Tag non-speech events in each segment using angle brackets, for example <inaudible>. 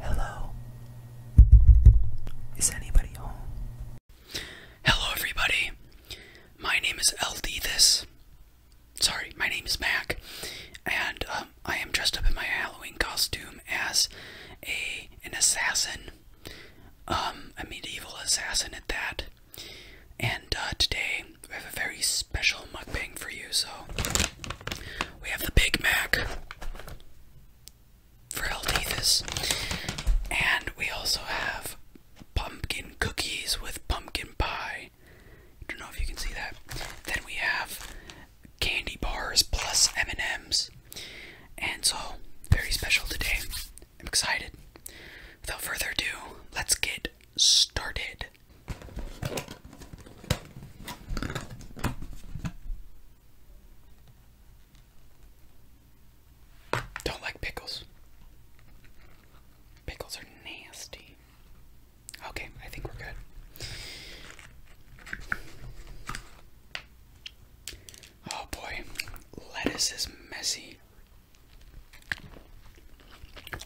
Hello. Is anybody home? Hello, everybody. My name is LD. This. Sorry, my name is Mac, and um, I am dressed up in my Halloween costume as a an assassin, um, a medieval assassin at that. And uh, today we have a very special mukbang for you. So we have the Big Mac for Healthies, and we also have pumpkin cookies with pumpkin pie. I don't know if you can see that. Then we have candy bars plus M&Ms, and so very special today. I'm excited. Without further ado, let's get started. Don't like pickles. Pickles are nasty. Okay, I think we're good. Oh boy, lettuce is messy.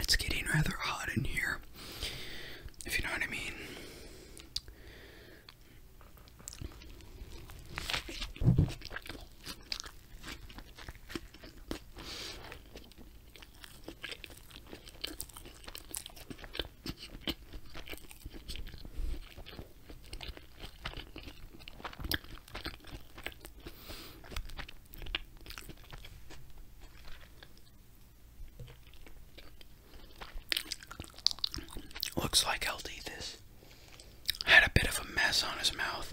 It's getting rather hot in here, if you know what I mean. Looks like I'll do this had a bit of a mess on his mouth.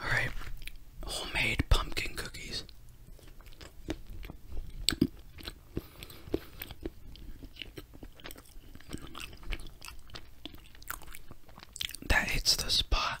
Alright, homemade pumpkin cookies. That hits the spot.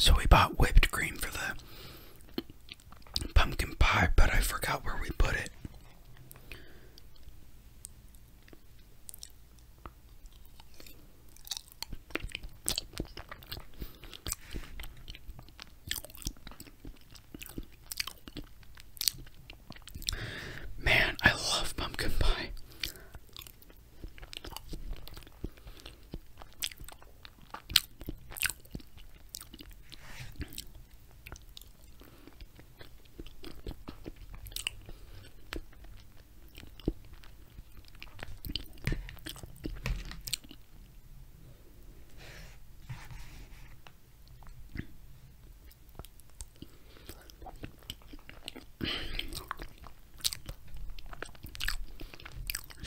So we bought whipped cream for the pumpkin pie, but I forgot where we put it. Man, I love pumpkin pie.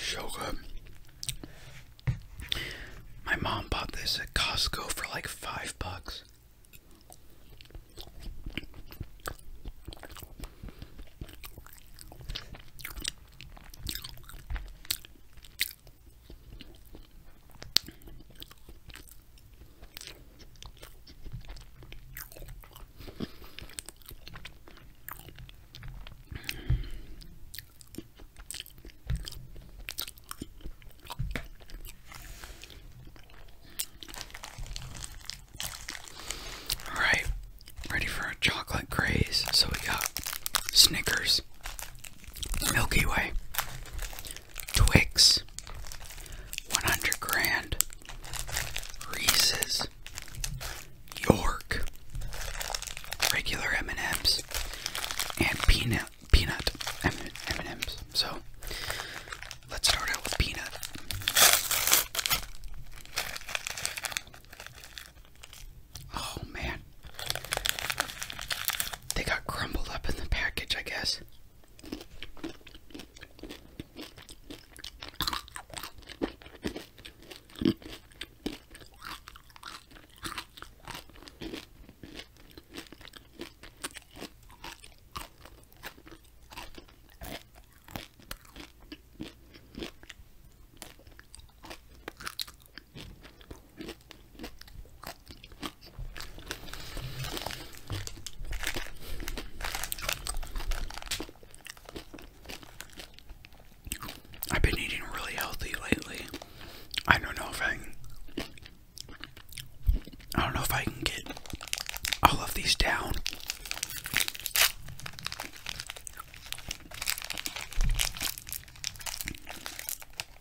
So good. My mom bought this at Costco for like five bucks. All right, ready for a chocolate craze. So we got Snickers, Milky Way, Twix, 100 Grand, Reese's, York, regular M&Ms, and peanut peanut M&Ms. So let's start out with peanut. Oh man. They got crumbled up in the package, I guess. I've been eating really healthy lately. I don't know if I can I don't know if I can get all of these down.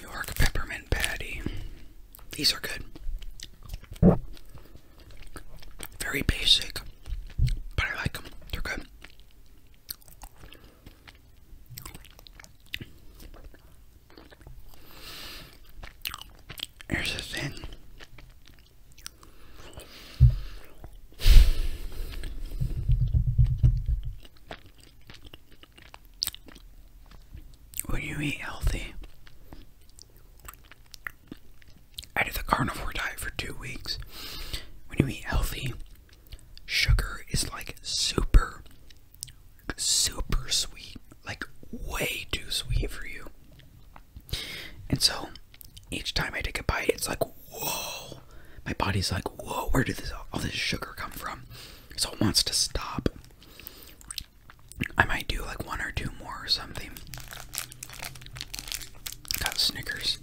York Peppermint Patty. These are good. Very basic, but I like them. They're good. Here's the thing. When you eat healthy, I did the carnivore diet for two weeks. When you eat healthy, Sugar is like super, super sweet, like way too sweet for you. And so each time I take a bite, it's like, whoa. My body's like, whoa, where did all this sugar come from? So it wants to stop. I might do like one or two more or something. Got Snickers.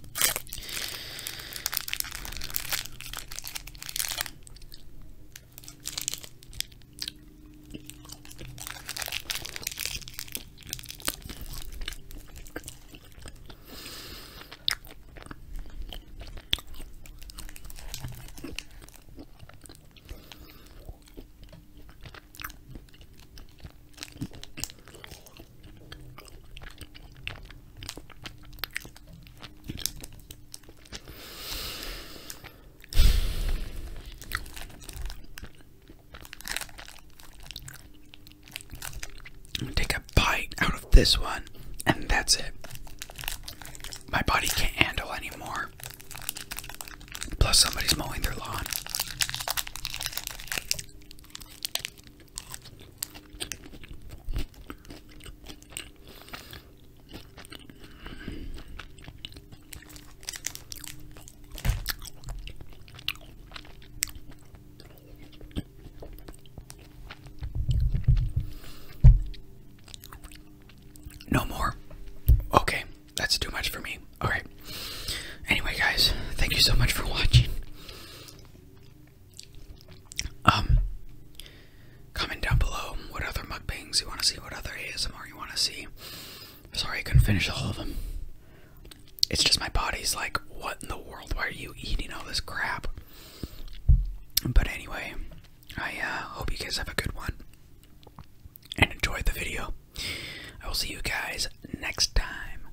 Take a bite out of this one, and that's it. My body can't handle anymore. Plus, somebody's mowing their lawn. No more. Okay, that's too much for me. All right. Anyway, guys, thank you so much for <laughs> watching. Um, comment down below what other mukbangs you want to see, what other ASMR you want to see. Sorry I couldn't finish all of them. It's just my body's like, what in the world? Why are you eating all this crap? But anyway, I uh, hope you guys have a good one and enjoyed the video. I will see you guys next time.